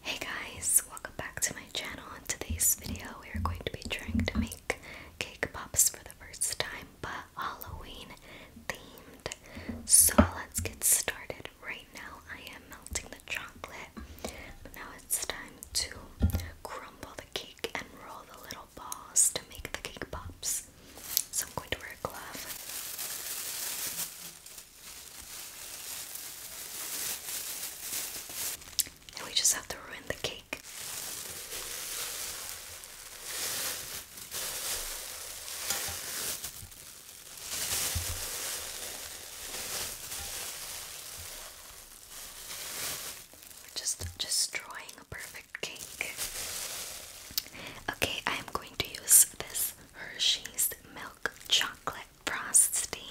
Hey guys, welcome back to my channel. In today's video, we are going to be trying to make cake pops for the first time, but Halloween themed. So let's get started. Right now, I am melting the chocolate, now it's time to crumble the cake and roll the little balls to make the cake pops. So I'm going to wear a glove. And we just have to ruin the cake. We're just destroying a perfect cake. Okay, I'm going to use this Hershey's milk chocolate frosting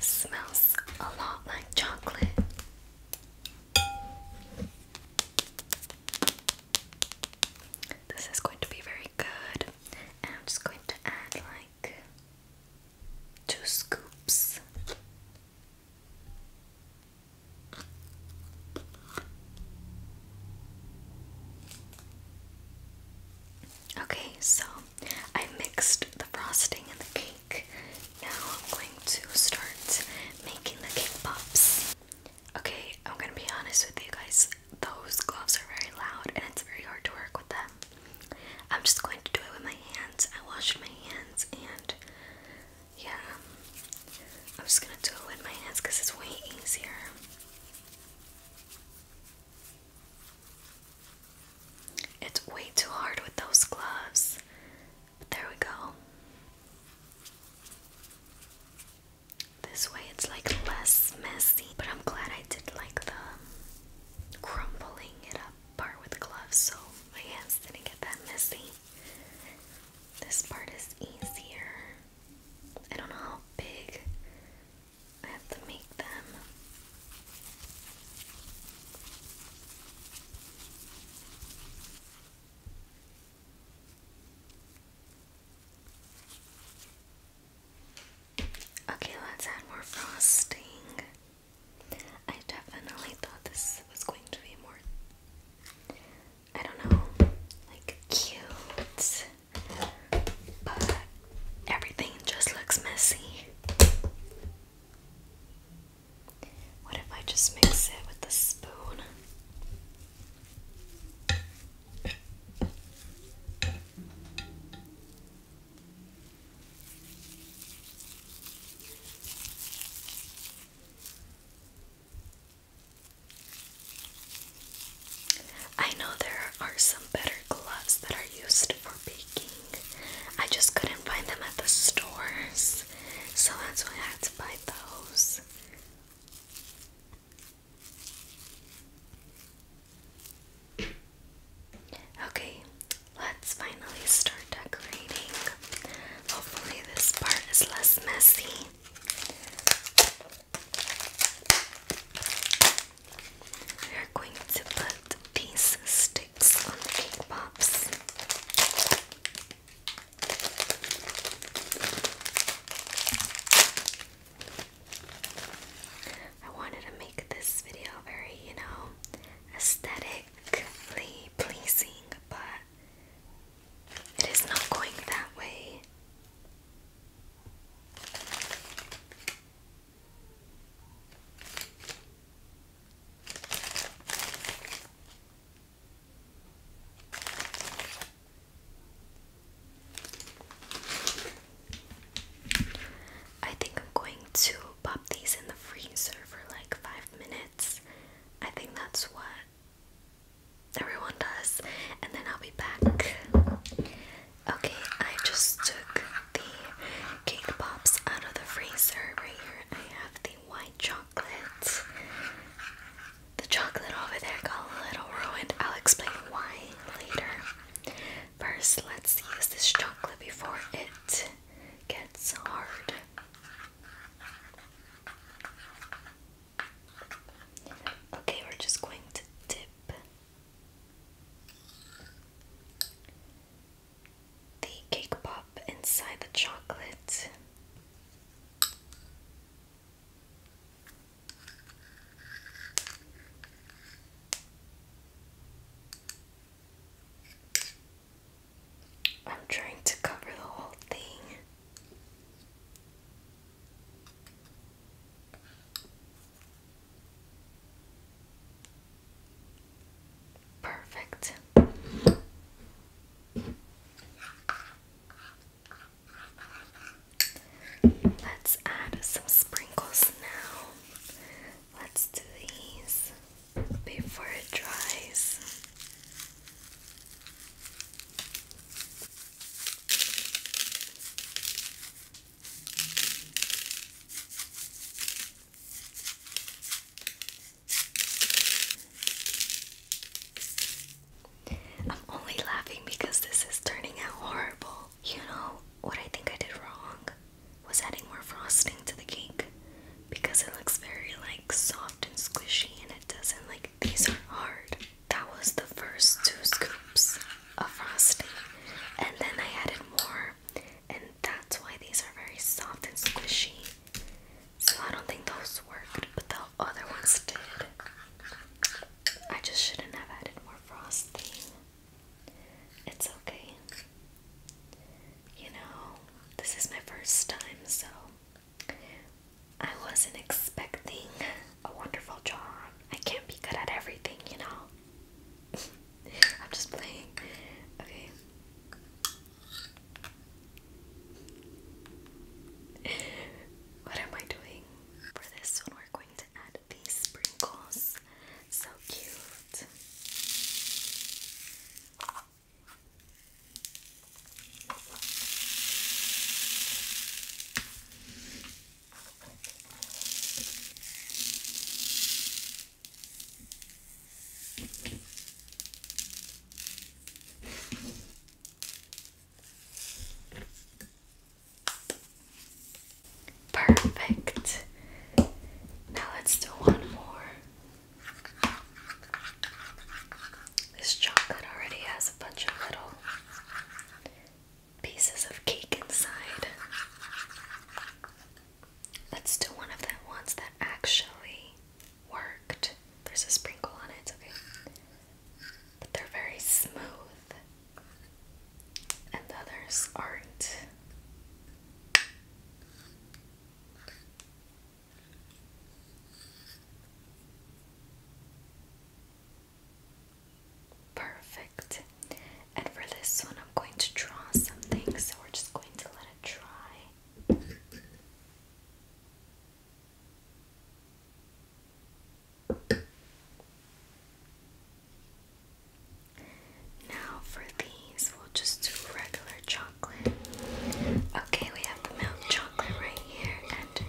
smells a lot like chocolate. This is going to be very good, I'm just going to add like two scoops. Okay, so I mixed the frosting and the cake. Now I'm going to start making the cake pops. Okay, I'm gonna be honest with you guys, those gloves are very loud and it's very hard to work with them. I'm just going to do it with my hands. I washed my hands and yeah, I'm just gonna do it with my hands because it's way easier. It's way too hard with those gloves. But there we go. This way it's like less messy, but I'm glad I did like the crumpling it up part with gloves so my hands didn't get that messy. This part is easier. I don't know how big I have to make them. Okay, let's add more frosting. I definitely thought this was going to be more, I don't know, like cute, but everything just looks messy. What if I just mix it with a spoon? I know there are some better gloves that are used for baking. I just couldn't find them at the stores, so that's why I had to buy those. Okay, Let's finally start decorating. Hopefully, this part is less messy. We are going to put these sticks on the cake pops. I wanted to make this video very, you know, aesthetic aesthetically pleasing, but it is not going that way. I think I'm going to pop these in the freezer for like five minutes. I think that's what everyone does, and then I'll be back. Okay, I just took the cake pops out of the freezer. Right here, I have the white chocolate. The chocolate over there got a little ruined. I'll explain why later. First, let's use this chocolate before it gets hard. Okay, we're just going to dip the cake pop inside the chocolate. I'm trying to cover the whole thing. Perfect. Let's add some sprinkles now. Let's do these before it dries. I'm only laughing because this is turning out horrible. You know what I think I did wrong? was adding more frosting to the cake because it looks very like soft and squishy and it doesn't like these are hard. That was the first two scoops of frosting and then I added more and that's why these are very soft and squishy. So I don't think those worked, but the other ones did. I just shouldn't have added more frosting. It's okay. You know, this is my first time, so I wasn't expecting a wonderful job. I can't be good at everything, you know? I'm just playing. Okay. What am I doing? For this we're going to add these sprinkles. So cute. Perfect. Now let's do one more. This chocolate already has a bunch of little pieces of cake inside. Let's do one of the ones that actually worked. There's a sprinkle on it, But they're very smooth. And the others aren't. Perfect. And for this one, I'm going to draw something, so we're just going to let it dry. Now for these, we'll just do regular chocolate. Okay, we have the milk chocolate right here, and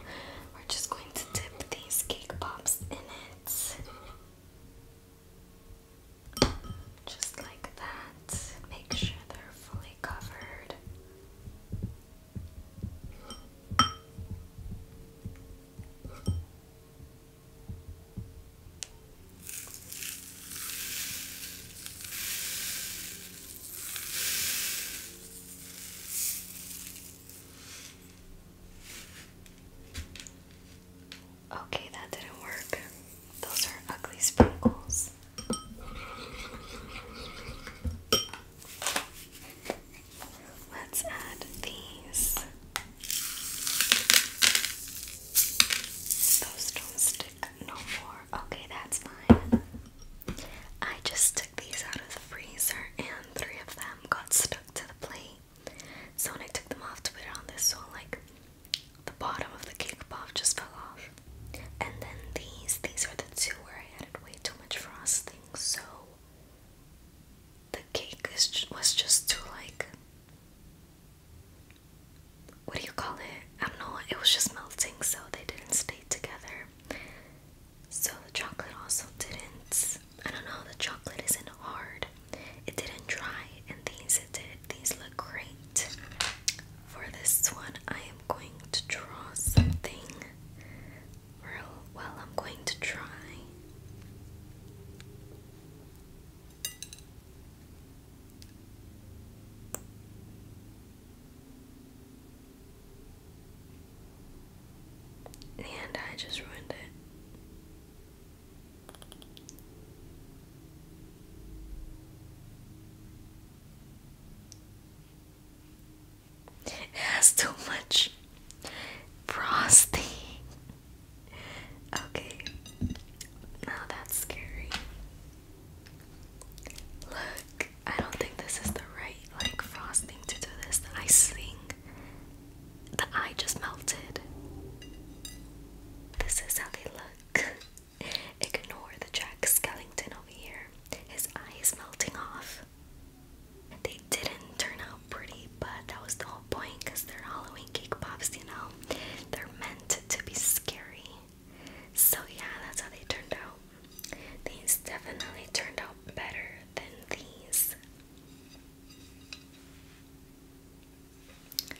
we're just going to dip these cake pops in it. Just like that. Make sure they're fully covered. Okay, that didn't work. Those are ugly sprinkles. Let's add these. Those don't stick no more. Okay, that's fine. I just took these out of the freezer and three of them got stuck to the plate. So when I took them off to put it on this one, like the bottom of the cake pop just fell off. And then these, these are the two where I added way too much frosting, so the cake is, was just too like what do you call it? I don't know, it was just melting, so they didn't stay together. So the chocolate also didn't, I don't know, the chocolate isn't hard. It didn't dry, and these it did. These look great. For this one, I am going to draw something. Real well, I'm going to try. And I just ruined it. It has too much frosting. Okay. Now oh, that's scary. Look, I don't think this is the right like frosting to do this. The icing. The eye just melted. This is how they look. Ignore the Jack Skellington over here. His eye is melting off. They didn't turn out pretty, but that was the whole point because they're Halloween cake pops, you know? They're meant to be scary. So yeah, that's how they turned out. These definitely turned out better than these.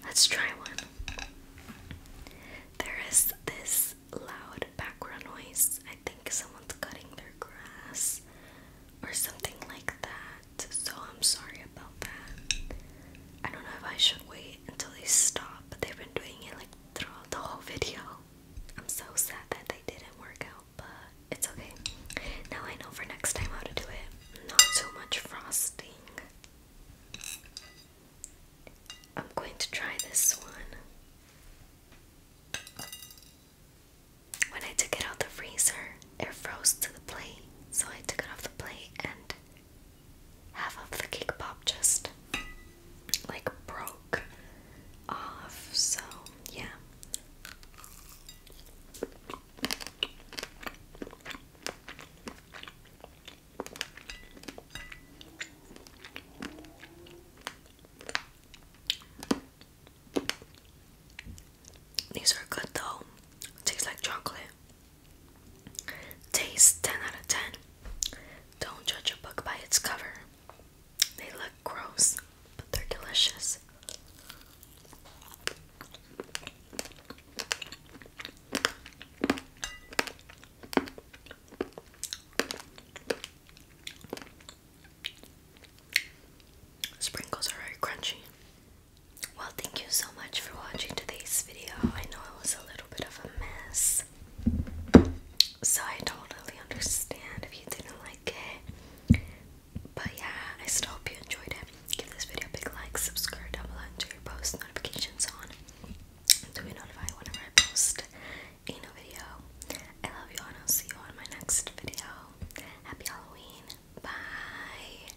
Let's try one. There is this loud background noise. I think someone's cutting their grass or something like that so I'm sorry about that. I don't know if I should wait until they stop, but they've been doing it like throughout the whole video. I'm so sad that they didn't work out, but it's okay. Now I know for next time how to do it. Not too much frosting. I'm going to try this one. When I took it out the freezer, it froze to the plate. So I took it off the plate and half of the cake pop just like broke off, so yeah. These are good though. tastes like chocolate. Taste 10 out of 10. Don't judge a book by its cover. They look gross, but they're delicious. Sprinkles are very crunchy. Well, thank you so much for watching today's video. I know it was a little bit of a mess, so I totally understand if you didn't like it. But yeah, I still hope you enjoyed it. Give this video a big like, subscribe down below, and turn your post notifications on to be notified whenever I post a new video. I love you, and I'll see you on my next video. Happy Halloween. Bye.